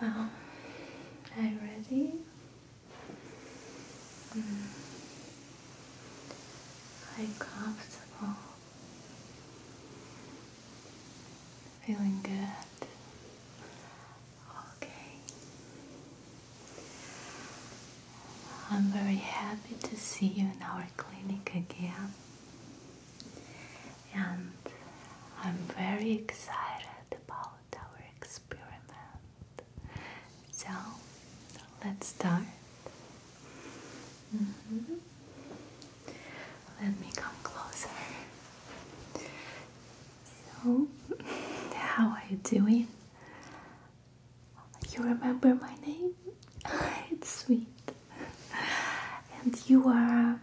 Well, are you ready? Mm. Are comfortable? Feeling good? Okay. I'm very happy to see you in our clinic again and I'm very excited about our experiment. So let's start. Mm -hmm. Let me come closer. So, how are you doing? You remember my name? it's sweet. And you are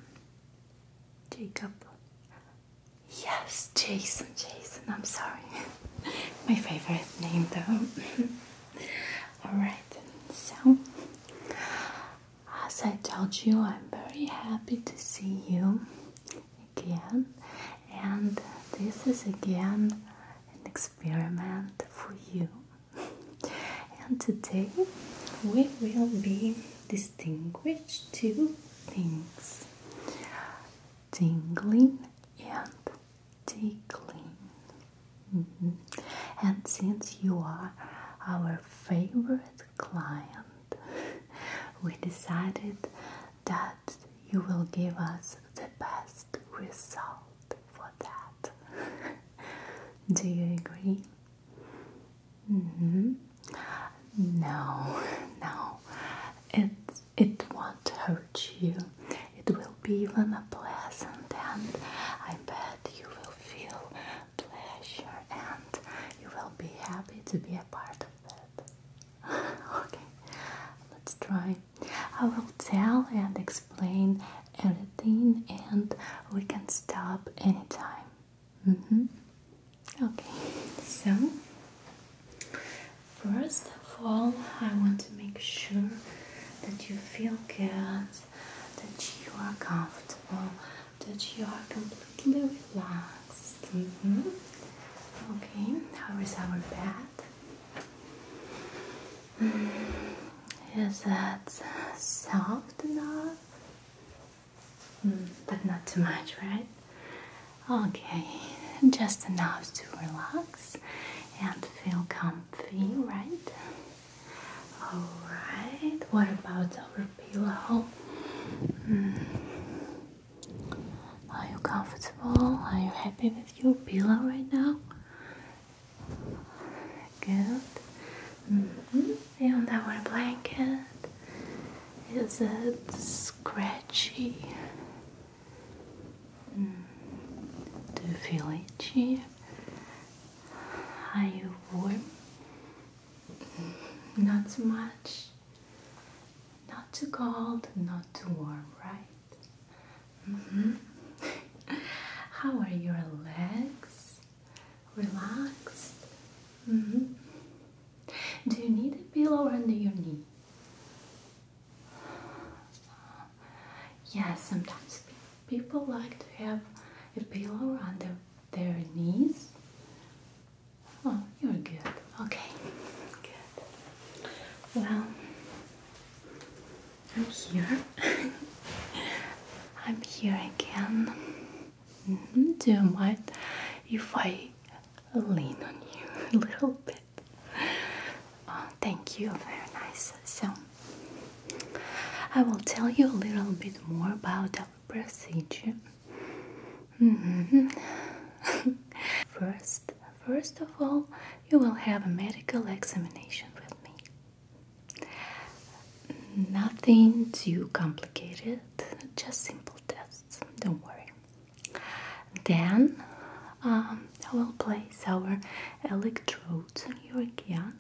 Jacob. Yes, Jason, Jason, I'm sorry. My favorite name though. Alright, so as I told you, I'm very happy to see you again, and this is again an experiment for you. And today we will be distinguish two things tingling and tickling. Mm-hmm. And since you are our favorite client, we decided that you will give us the best result for that. Do you agree? Mm-hmm. No, no, it it won't hurt you. It will be even a pleasant, and I bet you will feel pleasure, and you will be happy to be a part of that. okay, let's try. I will tell and explain everything, and we can stop anytime. Mm -hmm. Okay, so first of all, I want to make sure that you feel good, that you are comfortable, that you are completely relaxed. Mm -hmm. Okay, how is our bed? Mm. Is that soft enough? Mm, but not too much, right? Okay, just enough to relax and feel comfy, right? Alright, what about our pillow? Mm. Are you comfortable? Are you happy with your pillow right now? Good. Mm -hmm. And our blanket is uh, scratchy. Mm, do you feel itchy? Are you warm? Mm-hmm. Not too much, not too cold, not too warm, right? Mm-hmm. How are your legs? relaxed. Mm-hmm. Do you need a pillow under your knee? Yes, yeah, sometimes people like to have a pillow under their knees. Oh, you're good. Okay, good. Well, I'm here. I'm here again. Mm-hmm. Do you mind if I lean on you a little bit? Oh, thank you, very nice. So, I will tell you a little bit more about our procedure. Mm-hmm. first, first of all, you will have a medical examination with me. Nothing too complicated, just simple tests, don't worry. Then um, I will place our electrodes on you again.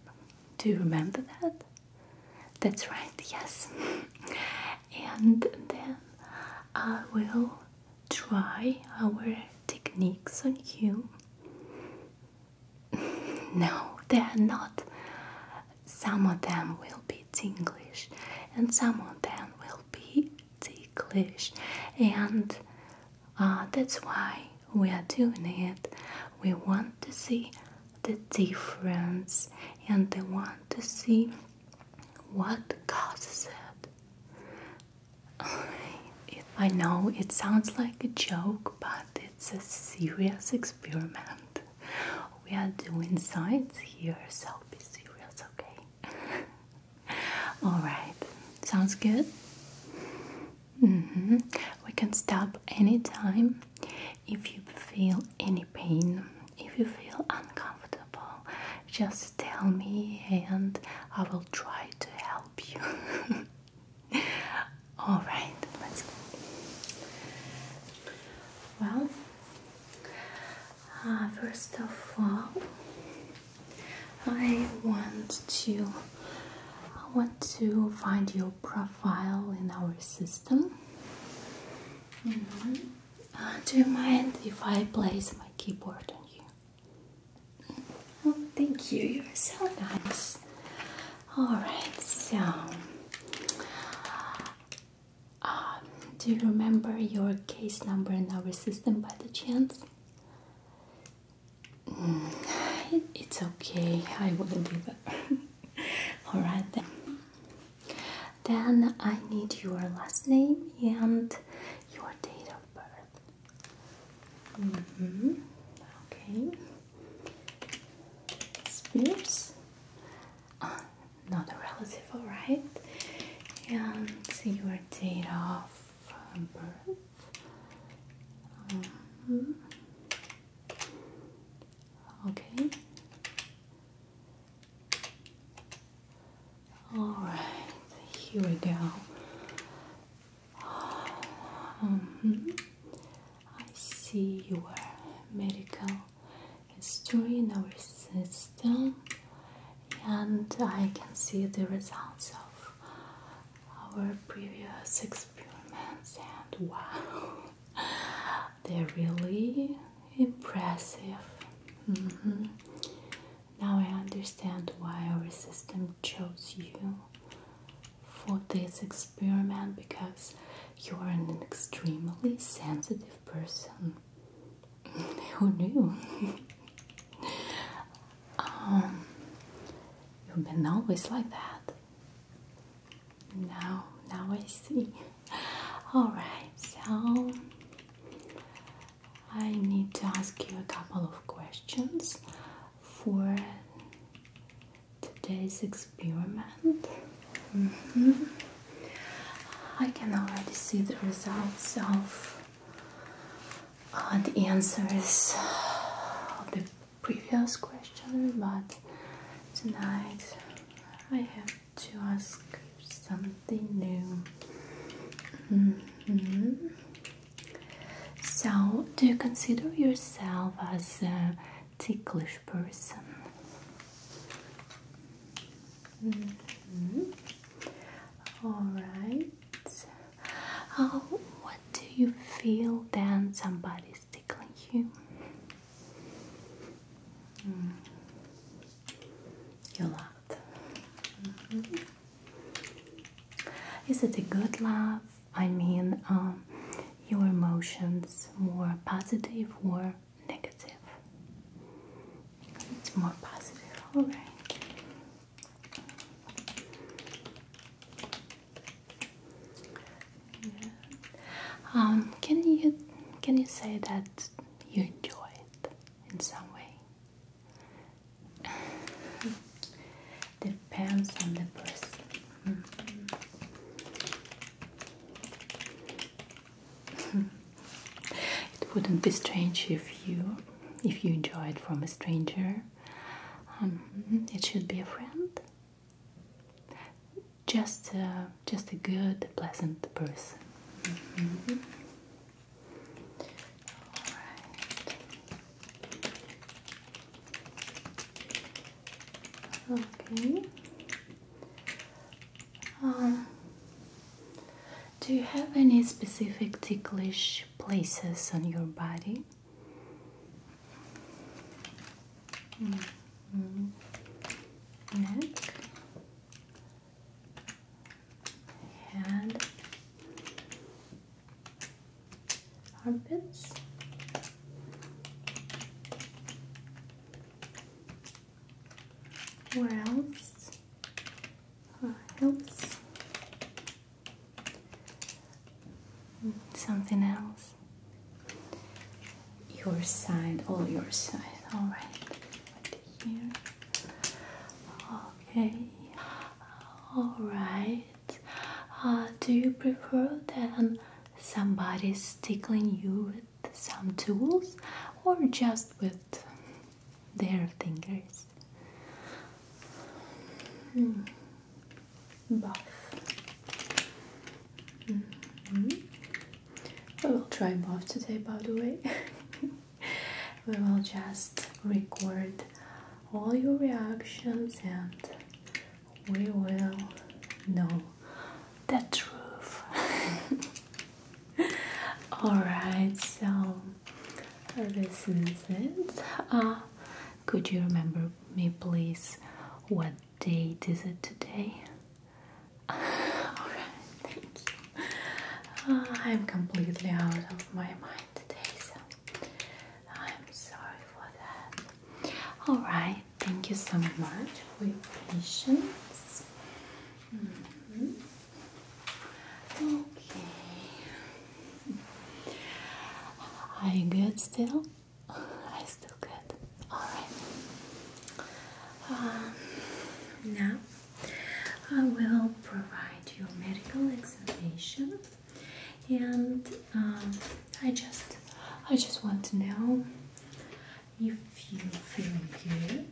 Do you remember that? That's right, yes. and then I will try our techniques on you. No, they are not some of them will be tinglish, and some of them will be ticklish, and uh, that's why we are doing it. We want to see the difference, and we want to see what causes it. I know it sounds like a joke, but it's a serious experiment we are doing science here, so be serious, okay? Alright, sounds good? Mm-hmm. We can stop anytime if you feel any pain, if you feel uncomfortable, just tell me and I will try to help you. Alright, let's go well. Uh, first of all, I want to I want to find your profile in our system. Mm-hmm. Uh, do you mind if I place my keyboard on you? Oh, thank you. You're so nice. All right, so um, do you remember your case number in our system by the chance? Mm, it's okay, I will give up. Alright then. Then I need your last name and your date of birth. Mm-hmm. Okay. Spears uh, not a relative, alright? And your date of um, birth. Mm -hmm. Okay. Alright, here we go. Mm I see your medical history in our system, and I can see the results of our previous experiments. And wow, they're really impressive. Mm-hmm. Now I understand why our system chose you for this experiment experiment because you are an extremely sensitive person. Who knew? Um, you've been always like that. Now, now I see. Alright, so I need to ask you a couple of questions for today's experiment. Mm-hmm. I can already see the results of uh, the answers of the previous question, but tonight I have to ask something new. Mm-hmm. So, do you consider yourself as ticklish person. Mm-hmm. Alright. Oh, what do you feel then somebody's tickling you? You laughed. Mm mm-hmm. Is it a good laugh? I mean, um, your emotions more positive or negative. It's more positive, all right. Um, can you can you say that you enjoy it in some way? Depends on the person. it wouldn't be strange if you if you enjoy it from a stranger. Um, it should be a friend. Just just a good, pleasant person. Mm-hmm. Okay. Um, do you have any specific ticklish places on your body? Mm-hmm. Neck, head, armpits. Where else? Where Something else. Your side, all your side. All right. Here. Okay. All right. Uh, do you prefer then um, somebody's tickling you some tools or just with their fingers. Mm. We will try both today, by the way. we will just record all your reactions and we will know the truth. Alright, so this is it. Uh, could you remember me, please? What date is it today? Alright, thank you. Uh, I'm completely out of my mind today, so I'm sorry for that. All right, thank you so much for your patience. Mm-hmm. Okay, are you good still? I still good. All right. Um, now I will provide you medical examination, and um, I just I just want to know if you feel good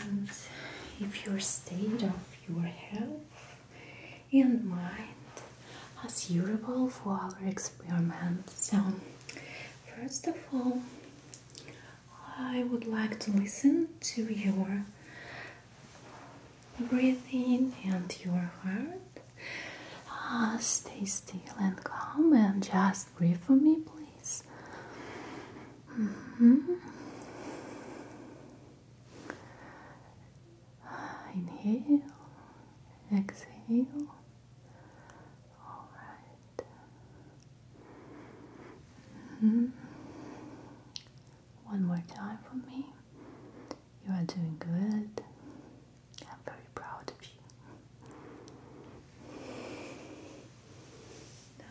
and if your state of your health and mind is suitable for our experiment. So, first of all, I would like to listen to your breathing and your heart. Ah, stay still and calm and just breathe for me, please. Mm-hmm. Inhale, exhale. All right. Mm-hmm. One more time for me. You are doing good. I'm very proud of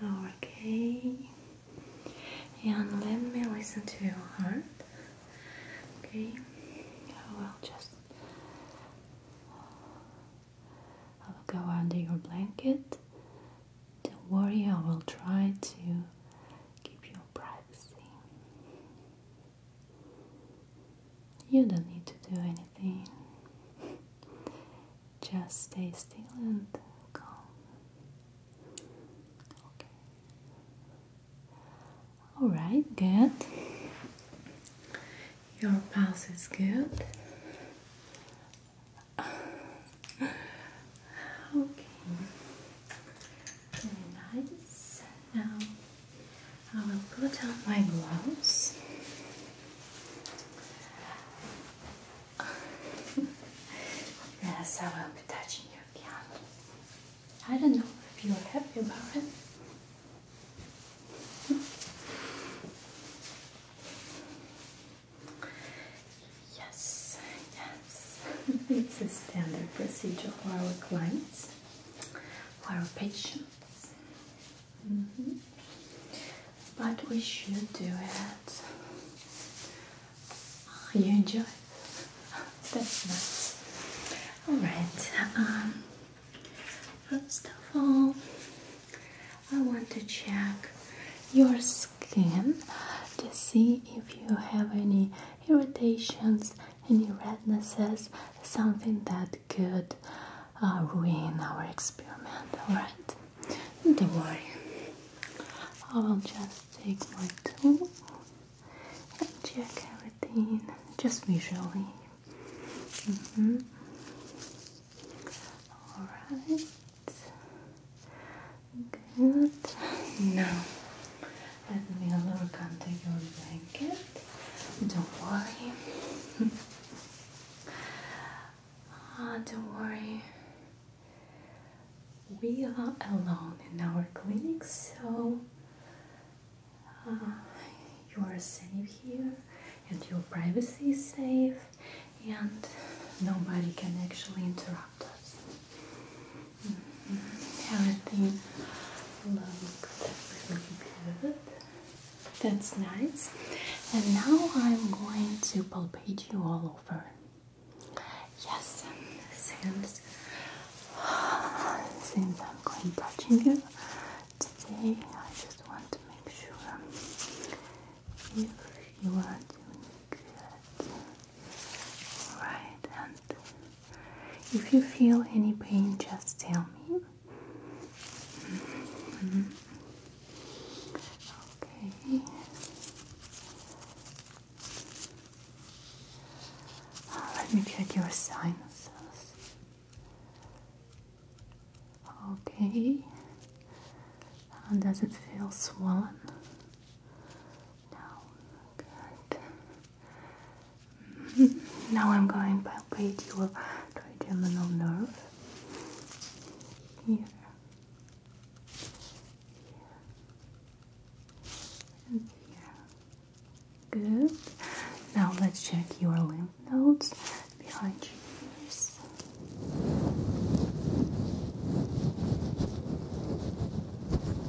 you. Okay. And let me listen to your heart. Okay. I will just. I will go under your blanket. Don't worry, I will try to keep your privacy. You don't need to do anything. Just stay still and calm. Okay. All right, good. Your pulse is good. okay. nice. Now I will put on my gloves. yes, I will be touching your piano. I don't know if you are happy about it. Yes, yes. it's a standard procedure for our clients, for our patients. Mm-hmm. But we should do it. Ah, you enjoy it. That's Alright, um, first of all, I want to check your skin to see if you have any irritations, any rednesses, something that could uh, ruin our experiment. Alright, don't worry. I will just take my tool and check everything just visually. Mm-hmm. Alright, good. Now, let me look under your blanket. Don't worry. ah, don't worry. We are alone in our clinic, so uh, you are safe here and your privacy is safe, and nobody can actually interrupt us. Mm-hmm. Everything looks really good. That's nice. And now I'm going to palpate you all over. Yes, since since I'm going touching you today, I just want to make sure if you are doing good. All right, and if you feel any pain, just tell me. Mm-hmm. Okay. Let me check your sinuses. Okay. Does it feel swollen? No. Good. Now I'm going to palpate your trigeminal nerve. Here. Here. And here. Good. Now let's check your lymph nodes behind your ears.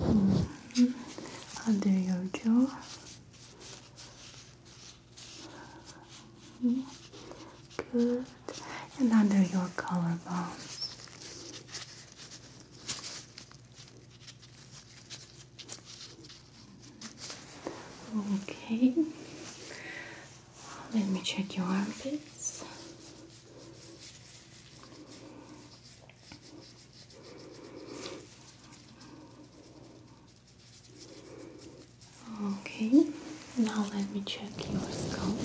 Mm -hmm. Under your jaw. Good. And under your collarbones. Okay. Let me check your armpits. Okay, now let me check your scalp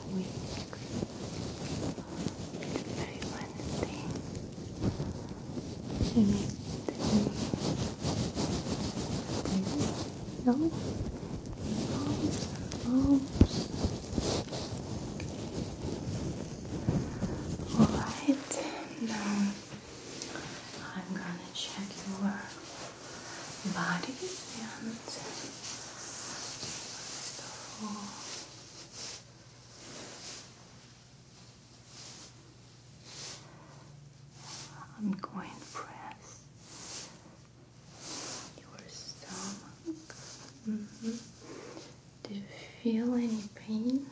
quick. Very funny thing. You need no? Alright, now I'm gonna check your body and first I'm going to press your stomach. Mm-hmm. Do you feel any pain?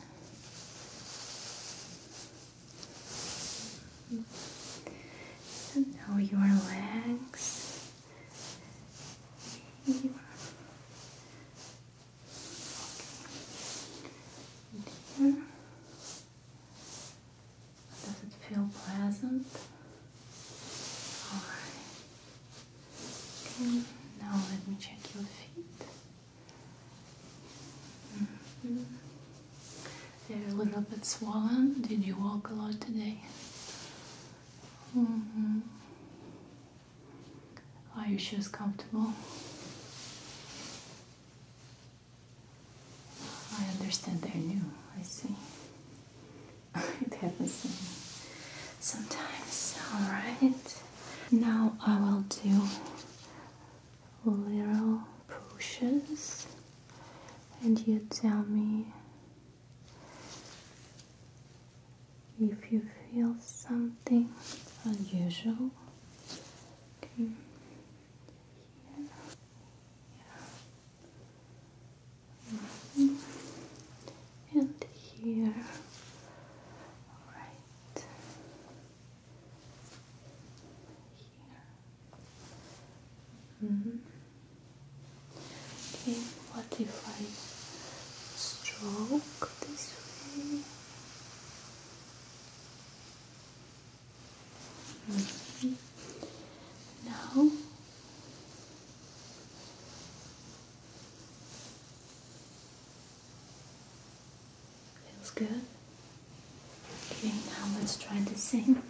And now your legs, here. Does it feel pleasant? All right. Okay. Now let me check your feet. Mm They're a little bit swollen. Did you walk a lot today? Mm -hmm. Are your shoes comfortable? I understand they're new. I see. it happens to me sometimes. All right. Now I will do little pushes and you tell me if you feel something unusual. Okay. Yeah. Yeah. Mm-hmm. And here, all right. -hmm. Okay, what if I stroke this way? Mm Now Feels good. Okay, now let's try the same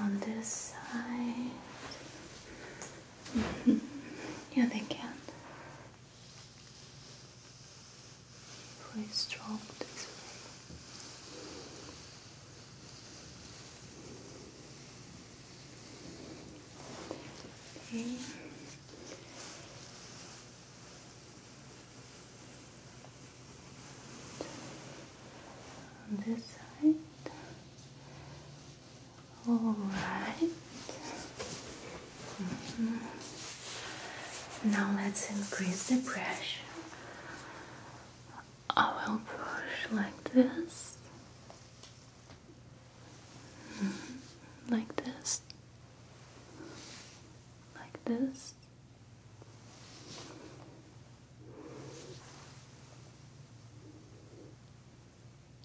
on this side. Yeah, they can. not Please stroke this way. Okay. On this side. All right. Mm-hmm. Now let's increase the pressure. I will push like this like this, like this.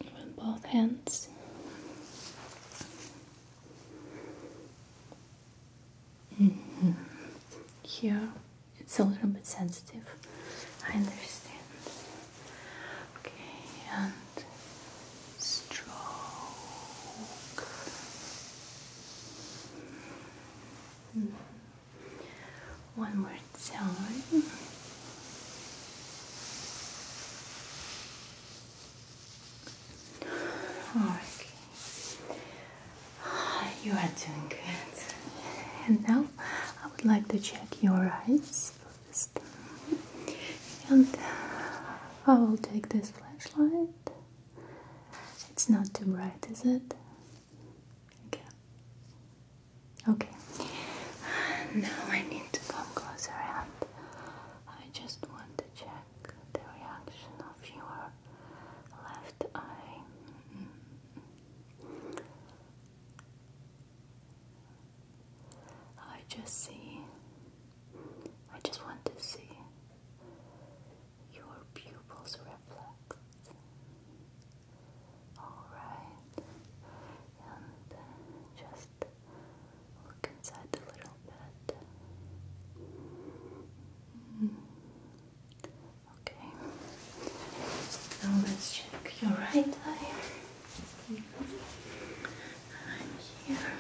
With both hands. Mm Here it's a little bit sensitive. I understand. Okay, and stroke. Hmm. One more time. Okay. You are doing good. And now I would like to check your eyes and uh, I will take this flashlight. It's not too bright, is it? Okay. Okay. Now I need to come closer and I just want to check the reaction of your left eye. I just see I just want to see your pupils reflex. Alright, and just look inside a little bit. Okay, now let's check your right eye. I'm here.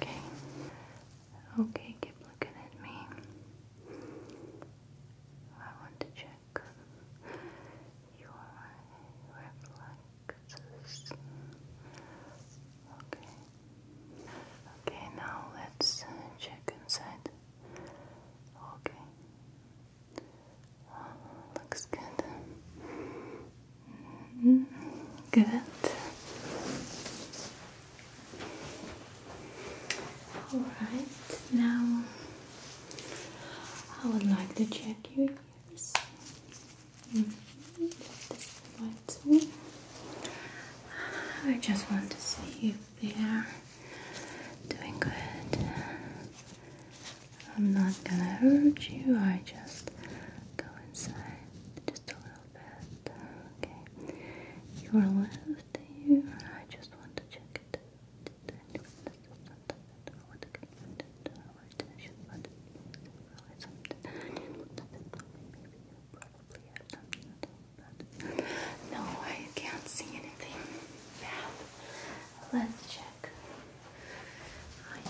Okay. Okay, keep looking at me. I want to check your reflexes. Okay. Okay, now let's check inside. Okay. Uh, looks good. Good. All right, now I would like to check your ears. Mm -hmm. This right I just want to see if they are doing good. I'm not gonna hurt you, I just go inside just a little bit. Okay. Your left ear, I just want to check it. No, I can't see anything bad. Let's check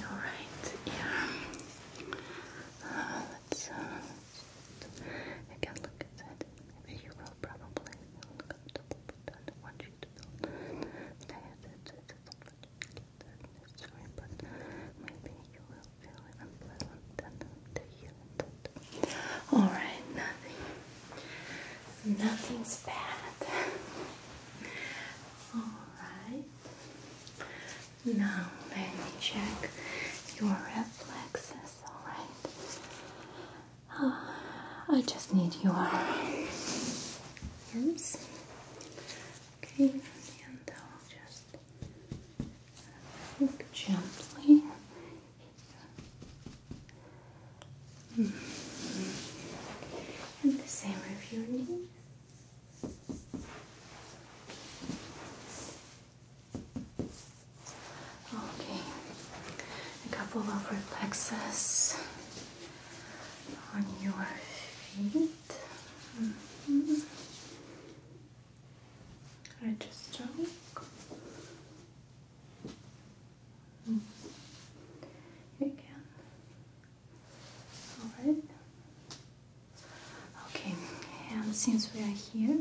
alright? Yeah. Uh, let's, uh, look at Maybe you will probably feel comfortable, but I want you to feel sorry, but maybe you will feel unpleasant to heal it. Alright, nothing. Nothing's bad. Alright. Now let me check your reflexes, alright? Ah, I just need your arms. Okay, and I'll just look gently. And the same with your knees. Okay, a couple of reflexes on your feet. Mm -hmm. Register. Mm. Alright. Okay, and since we are here,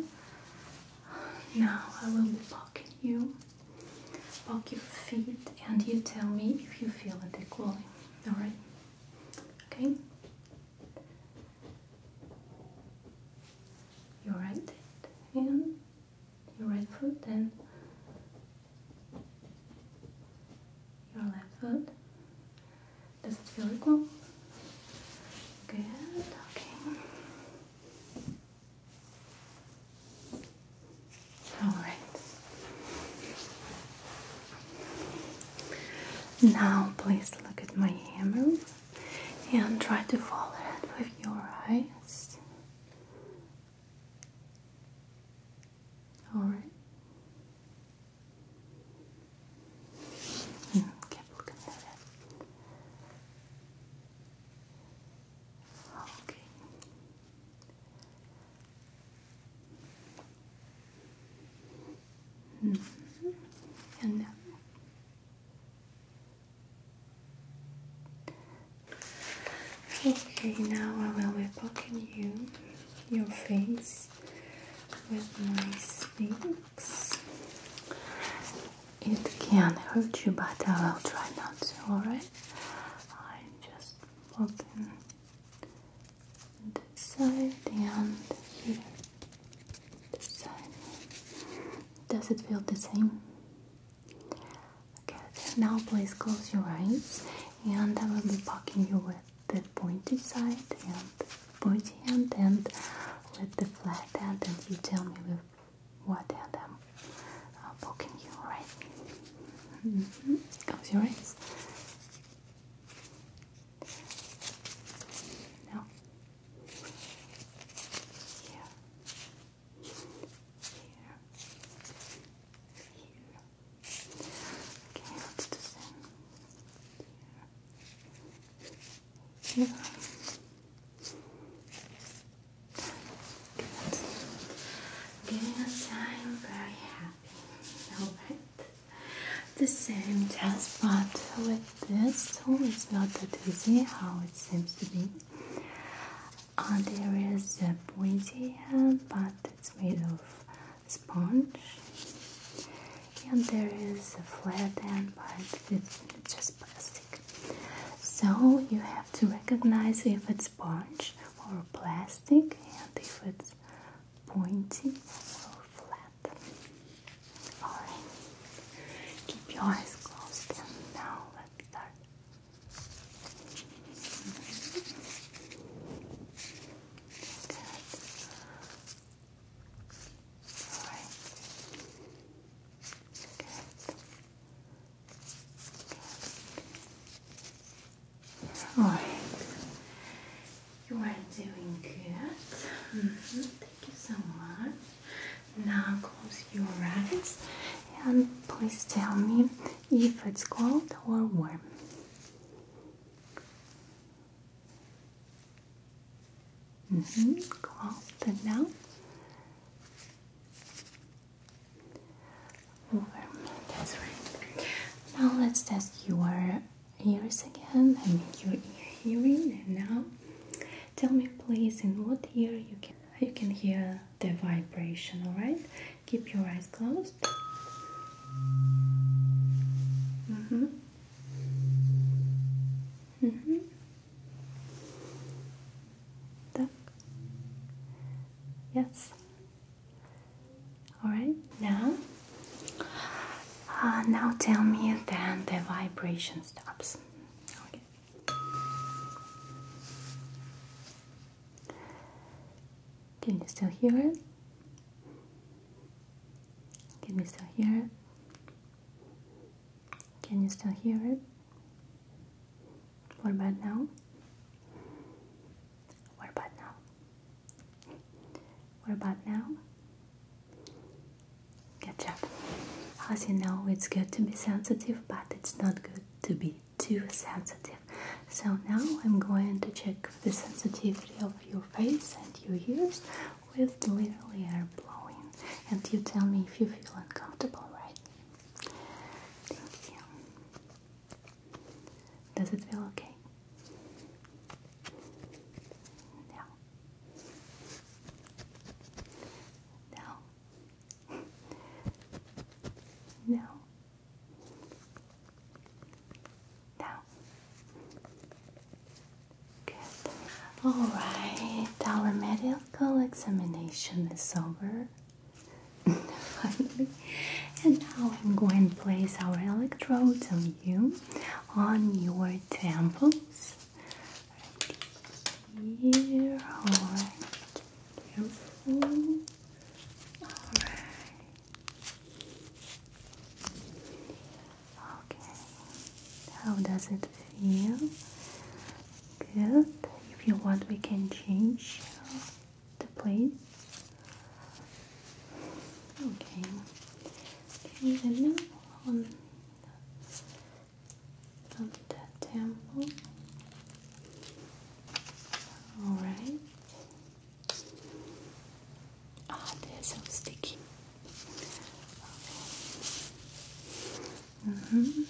now I will be poking you, poke your feet, and you tell me if you feel it equally. Alright? Okay? Your right hand and your right foot then your left foot does it feel equal? Good, okay. Alright. Now, please look at my hammer and try to follow it with your eyes. All right. Mm, keep looking at it. Okay. -hmm. And Okay, now I will be poking you, your face with my sticks. It can hurt you, but I will try not to, alright? I'm just popping this side and here. This side. Does it feel the same? Okay, now please close your eyes and I will be poking you with the pointy side and pointy end, and with the flat end. and you tell me with what end I'm uh, poking you, right? Mm-hmm. Close your eyes. Now, here, here, here. Okay, let's do this in. Here. Good. Giving us time, very happy. Alright. The same test, but with this tool, oh, it's not that easy how it seems to be. Uh, there is a pointy hand, but it's made of sponge and there is a flat end but it's just plastic so you have to recognize if it's sponge or plastic and if it's pointy or flat alright keep your eyes closed and now let's start all right. You are doing good. Mm-hmm. Thank you so much. Now close your eyes and please tell me if it's cold or warm. Mm -hmm. Cloth and now warm. That's right. Now let's test your ears again. I mean your ear hearing. now, tell me please, in what ear you can you can hear the vibration? All right. Keep your eyes closed it. Mm-hmm. Mm-hmm. Yes. Alright, now uh, now tell me when the vibration stops. Okay. Can you still hear it? Can you still hear it? Can you still hear it? What about now? What about now? What about now? Good job. As you know, it's good to be sensitive, but it's not good to be too sensitive. So now I'm going to check the sensitivity of your face and your ears with literally air blowing. And you tell me if you feel uncomfortable, right? Thank you. Does it feel okay? No. No. No. Down. Good. Alright, our medical examination is over. Finally. And now I'm going to place our electrodes on you, on your temples. Right here, alright. Careful. Alright. Okay, how does it feel? Good. If you want, we can change the place. Okay. Okay, then now on, on the temple. All right. Ah, they're so sticky. Mm-hmm.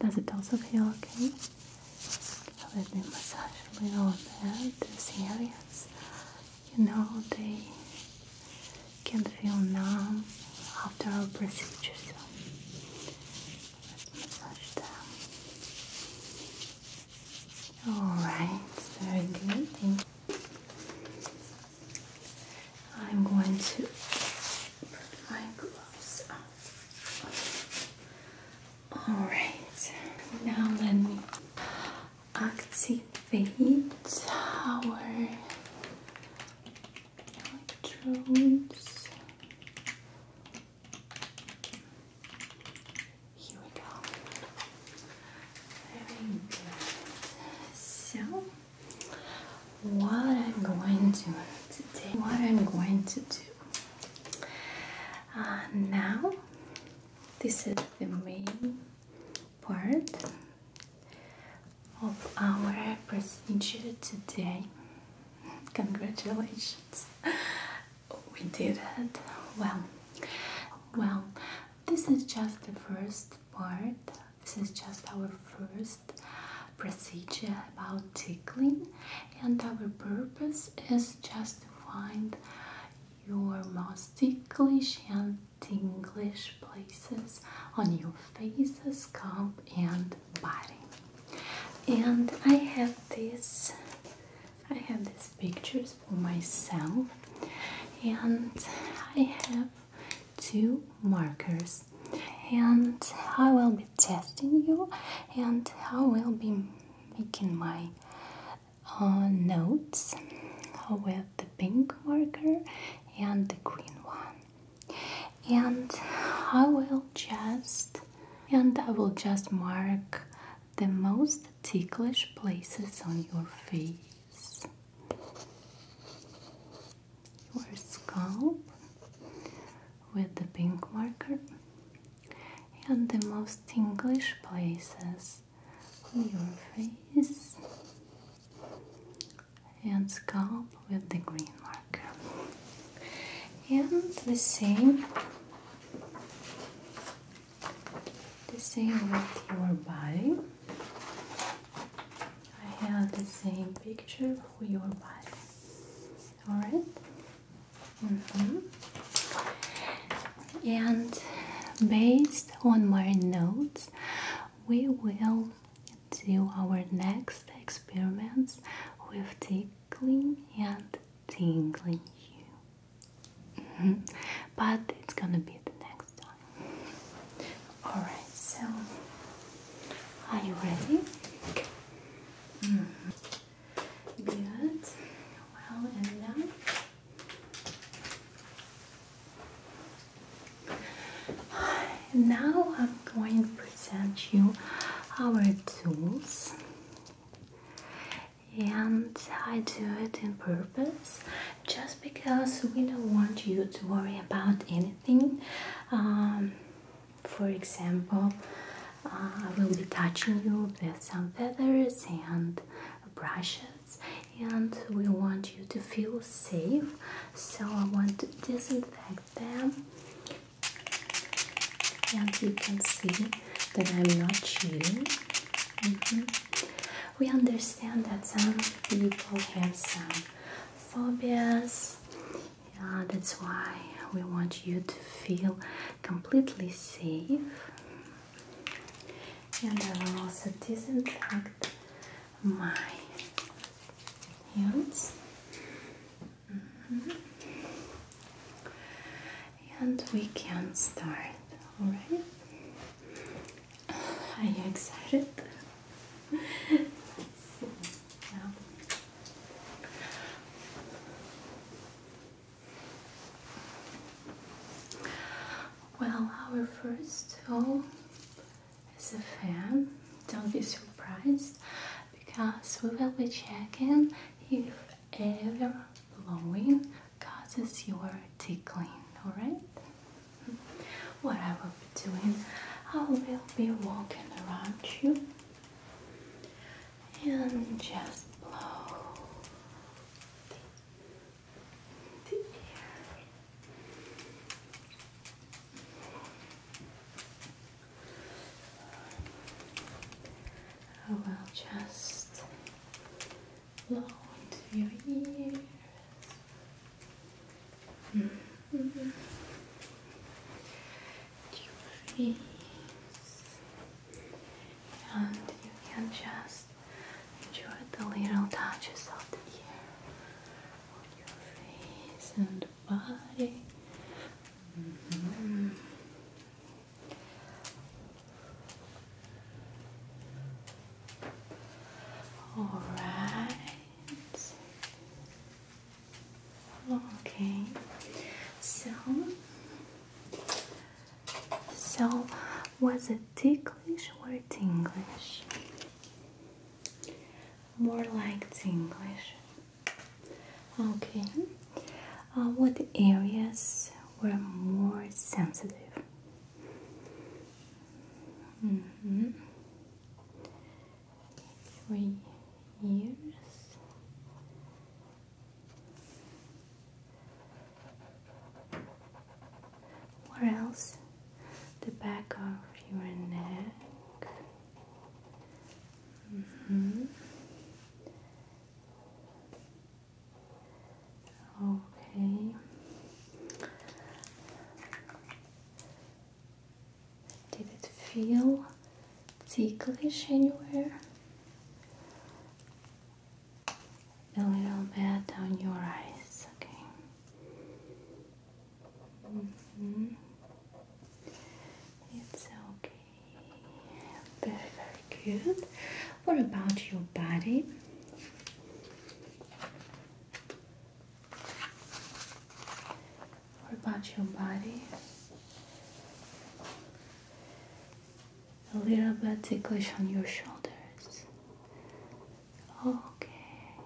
Does it also feel okay? Let me massage a little there, these areas. You know, they can feel numb after our procedure, let's massage them. All right, very good. I'm going to put my gloves on. All right, now let me activate our electrodes. Here we go. So, what I'm going to today, what I'm going to do uh, now, this is the main part of our procedure today. Congratulations we did it. Well, well, this is just the first part. This is just our first procedure about tickling, and our purpose is just to find your most ticklish and tinglish places on your faces, scalp, and body. And I have this I have these pictures for myself and I have two markers and I will be testing you and I will be making my uh, notes with the pink marker and the green one and I will just and I will just mark the most ticklish places on your face, your scalp with the pink marker, and the most ticklish places on your face and scalp with the green marker. And the same the same with your body. I have the same picture for your body. Alright? Mm-hmm. And based on my notes, we will do our next experiments with tickling and tingling you. Mm-hmm. But it's gonna be the next time. Alright, so are you ready? Mm-hmm. Good. Well, and now now I'm going to present you our tools and I do it in purpose just because we don't want you to worry about anything. Um, for example, uh, I will be touching you with some feathers and brushes, and we want you to feel safe, so I want to disinfect them. And you can see that I'm not cheating. Mm-hmm we understand that some people have some phobias. that's why we want you to feel completely safe. And I will also disinfect my hands. Mm-hmm and we can start. Alright? Are you excited? Well, our first home is a fan. Don't be surprised because we will be checking if ever blowing causes your tickling, alright? What I will be doing, I will be walking around you and just blow the, the I will just blow into your ears. Your face, and you can just enjoy the little touches of the ear on your face and body. All right. Okay. So, so was it ticklish or tinglish? More like tinglish. Okay. Uh, what areas were more sensitive. Mm -hmm. Three years. Where else? The back of your neck. Mm -hmm. Okay. Did it feel ticklish anywhere? A little bit on your eyes, okay. -hmm. It's okay. Very, very good. What about your body? What about your body? A little bit ticklish on your shoulders. Okay.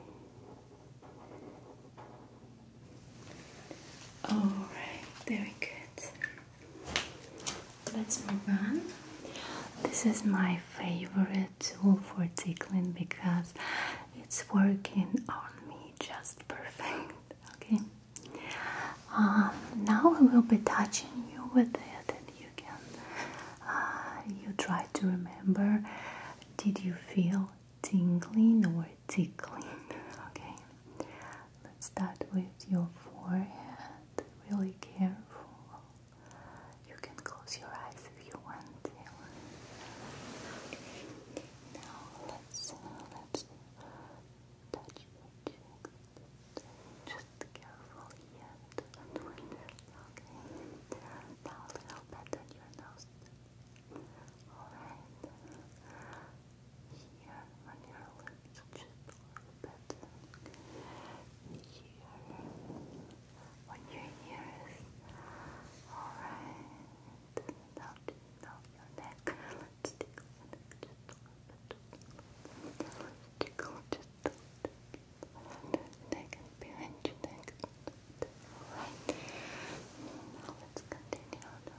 All right, very good. Let's move on. This is my favorite tool for tickling because it's working on me just perfect. Okay. Um, now I will be touching you with it, and you uh, you try to remember. Did you feel tingling or tickling? Okay. Let's start with your forehead really careful. You can close your eyes if you want Now let's uh, let's touch your Just careful here. Okay. Now a little bit on your nose. Alright. Here on your lips, just a little bit here on your ears. Alright. Now, now your neck. Let's tickle your neck just a little bit. Let's tickle just a little bit. Neck and behind your neck. Alright. Now let's continue on your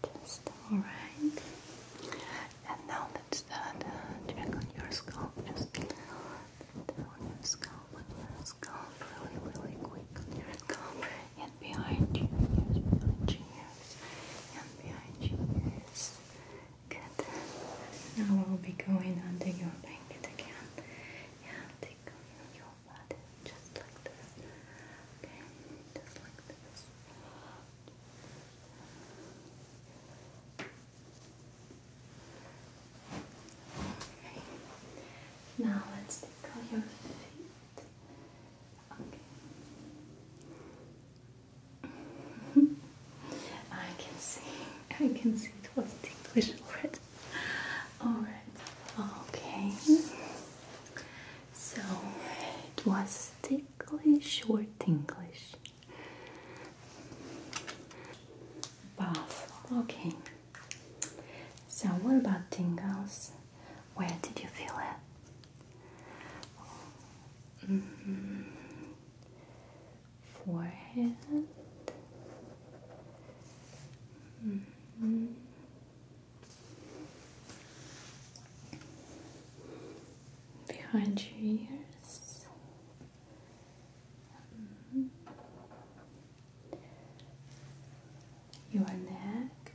just alright. And now let's start uh, your scalp. Just down your scalp, scalp, really, really quick scalp. And behind you, yes, behind you, yes. And behind you, yes. Good. Now we'll be going under your blanket again. Yeah, take on your body just like this. Okay, just like this. Now let's tickle your feet. Okay. I can see. I can see it was ticklish already. Alright. Okay. So it was stiff ticklish short tinglish? Both. Okay. So, what about tingles? Where did you feel it? Mm-hmm. Forehead. Mm-hmm behind your ears. Mm-hmm. Your neck.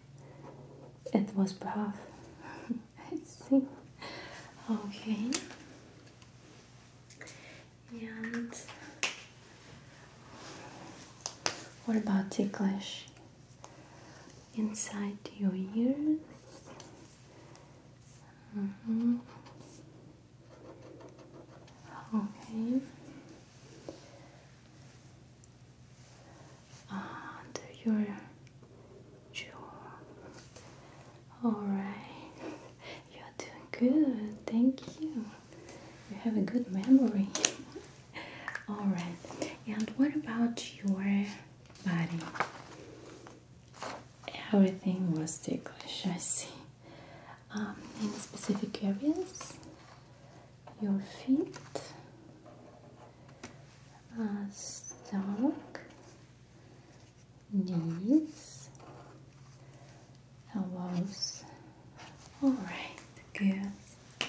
It was buff. I see. Okay. And what about ticklish? inside your ears. Mm-hmm. Okay. Under your jaw. Alright. You're doing good. Thank you. You have a good memory. Alright. And what about your body. Everything was ticklish, I see. Um, in specific areas, your feet, uh, stomach, knees, elbows. All right, good.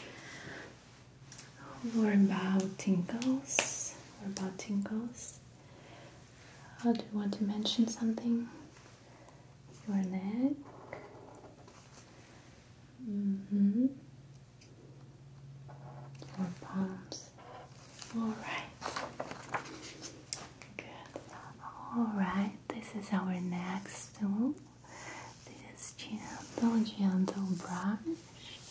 More about tingles, More about tingles. do you want to mention something? Your neck. Mm hmm Your palms. All right. Good. All right. This is our next tool. This gentle, gentle brush.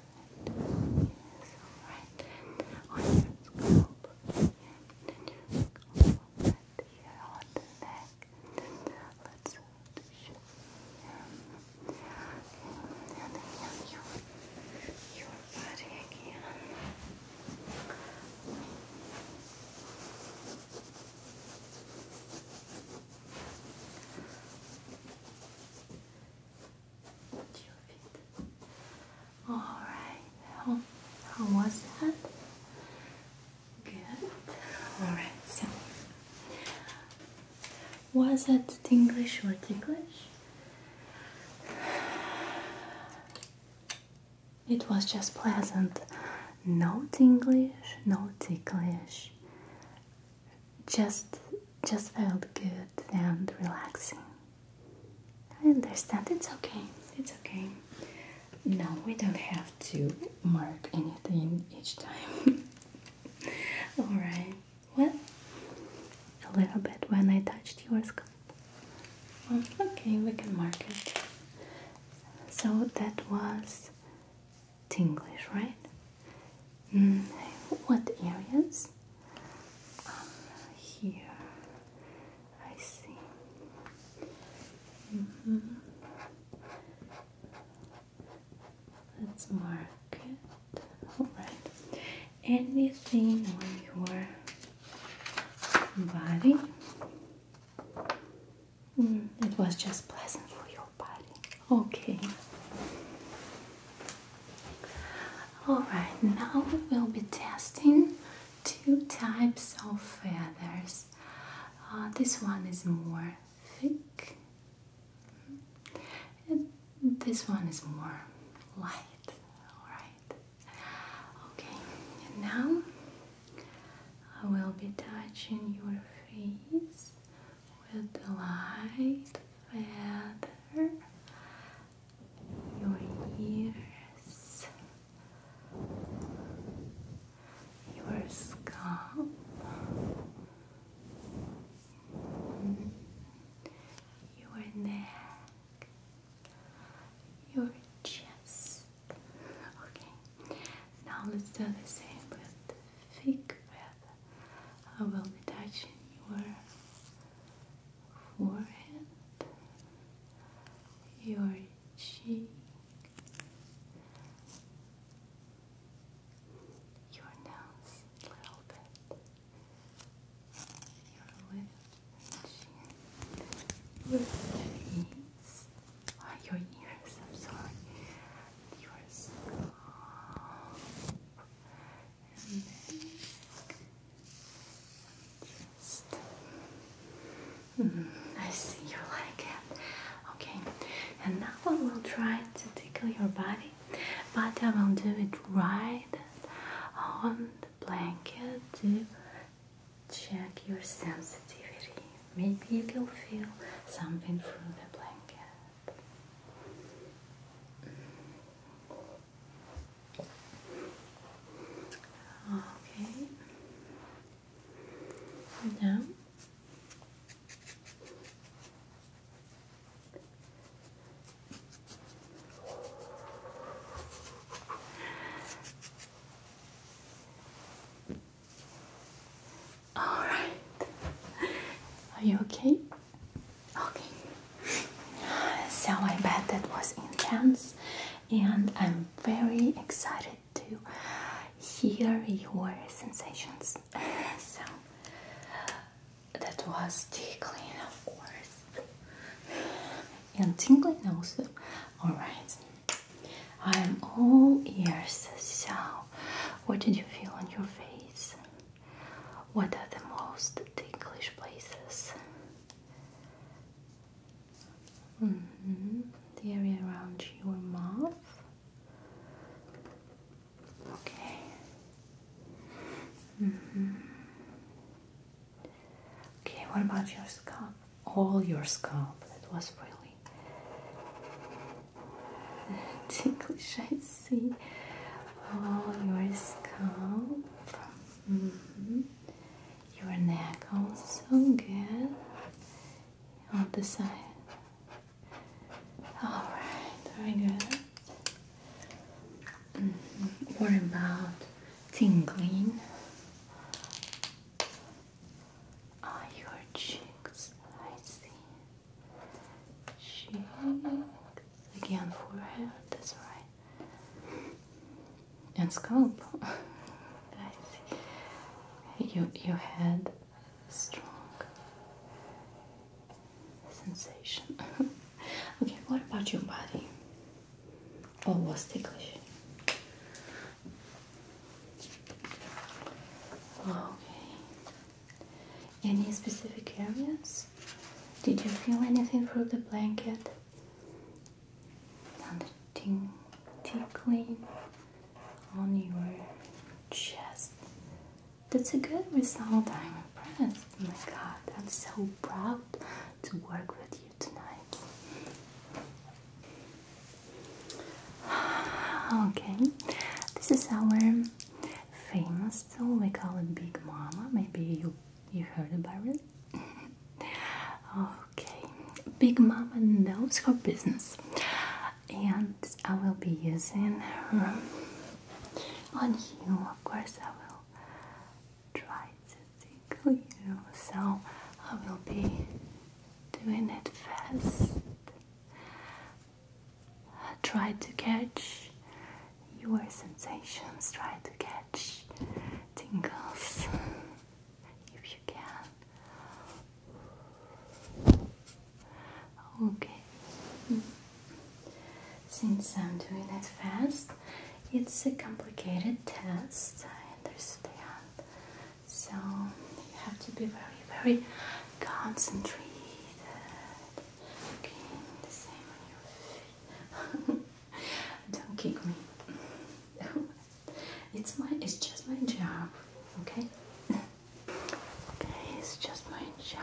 good. Yes, alright. On your scalp. Yeah, your scalp. But here on neck. Let's do your and then your, your body do Alright, how, how was that? Good. Alright, so was it tinglish or ticklish? It was just pleasant. No tinglish, no ticklish. Just just felt good and relaxing. I understand, it's okay, it's okay. No, we don't have to mark anything each time. Alright, well, a little bit when I touched your scalp. okay, we can mark it. So that was tinglish, right? Mm. what areas? Um, here, I see. Mm-hmm. Let's mark it. Alright. Anything on your body? Mm, it was just pleasant for your body. Okay. Alright, now we'll be testing two types of feathers. Uh, this one is more thick, and this one is more light. Alright, okay, and now I will be touching your face with the light feather your ears, your scalp, your neck, your chest. Okay, now let's do the same with thick breath. I will be touching your forehead, your cheek, your nose a little bit, your lip your face, your ears, I'm sorry, your scalp, and mm-hmm. I see you like it. Okay, and now I will try to tickle your body, but I will do it right on the blanket to check your sensitivity. Maybe you can feel something through the blanket. Okay. Now. All right. Are you okay? Okay, so I bet that was intense, and I'm very excited to hear your sensations. so that was tickling, of course, and tingling also. All right, I am all ears. So, what did you feel on your face? What are the most ticklish places? Mm-hmm. The area around your mouth. Okay. Mm-hmm. Okay, what about your scalp? All your scalp. That was really ticklish, see all your scalp, mm-hmm. your neck also good on the side. All right, very good. Mm What about tingling? Ah, your cheeks. I see. Cheeks again forehead, that's right, and scalp. I see. You you had strong sensation. okay, what about your body? Oh, was ticklish. Okay. Any specific areas? Did you feel anything through the blanket? On the ting tickling on your chest. That's a good result. I'm impressed. Oh my god, I'm so proud to work with you tonight. Okay, this is our famous tool. We call it Big Mama. Maybe you you heard about it? okay, Big Mama knows her business, and I will be using her on you. Of course, I will try to tickle you, so I will be doing it fast. Try to catch your sensations, try to catch tingles if you can. Okay, since I'm doing it fast, it's a complicated test, I understand. So you have to be very, very concentrated. Okay, Don't kick me. it's my it's just my job, okay? okay, it's just my job.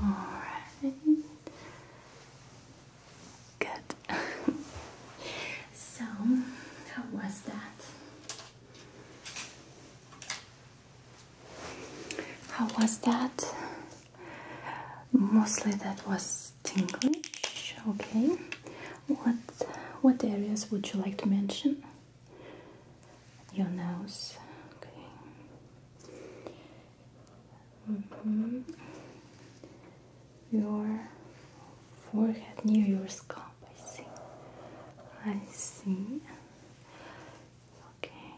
Alright. Good. so, how was that? How was that? Mostly that was tingling. Okay. What what areas would you like to mention? Your nose. Okay. Mm-hmm. Your forehead near your scalp. I see. I see. Okay,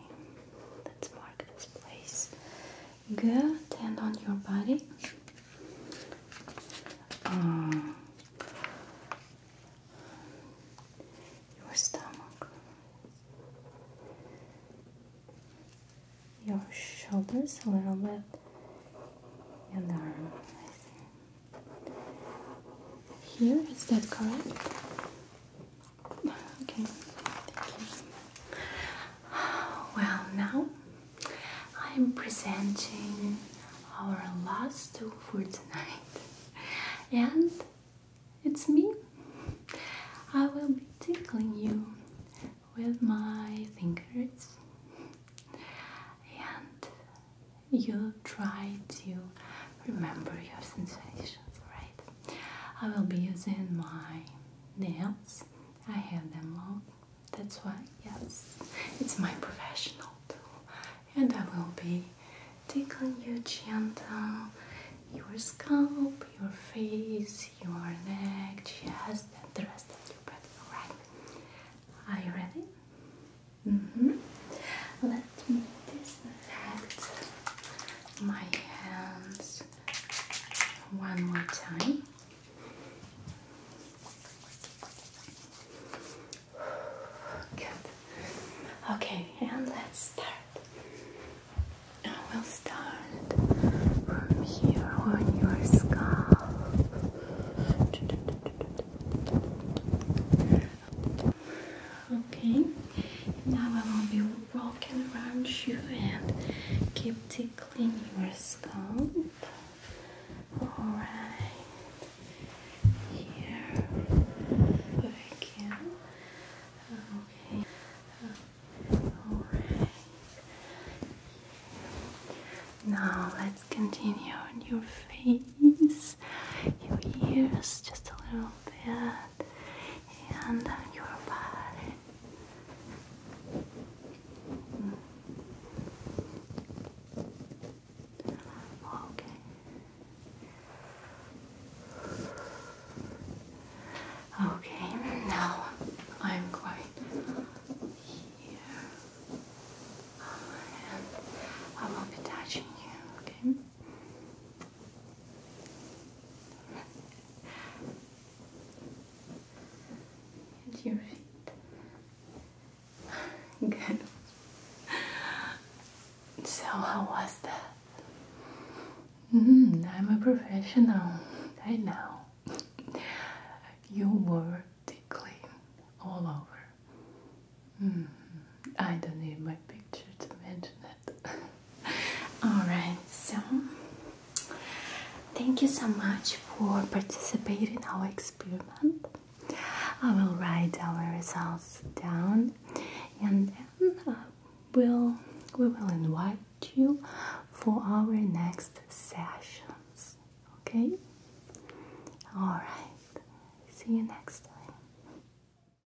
let's mark this place. Good, and on your body. Uh, your stomach, your shoulders a little bit, and arm. Here, is that correct? Okay. Well, now I am presenting our last two for tonight, and it's me. I will be tickling you with my fingers, and you will try to remember your sensations, right? I will be using my nails. I have them long. That's why, yes, it's my professional tool. And I will be tickling your chin down, your scalp, your face, your neck, chest, and the rest of your body. Alright? Are you ready? Mm-hmm. Let me disinfect my hands one more time. Good. Okay, and let's start. I will start from here on your scalp. Okay, now I will be walking around you and keep tickling your scalp. Alright, here again. Okay, alright. Now let's continue on your face, your ears, just a little bit and your body. Okay. Okay, now I'm going here. And I will be touching you, okay? At your feet. Good. So how was that? Mm-hmm, I'm a professional. I know. You were tickling all over. Mm-hmm, I don't need my picture to mention that. Alright, so thank you so much for participating our experiment. I will write our results down and then uh, we'll, we will invite you for our next sessions. Okay? Alright, see you next time.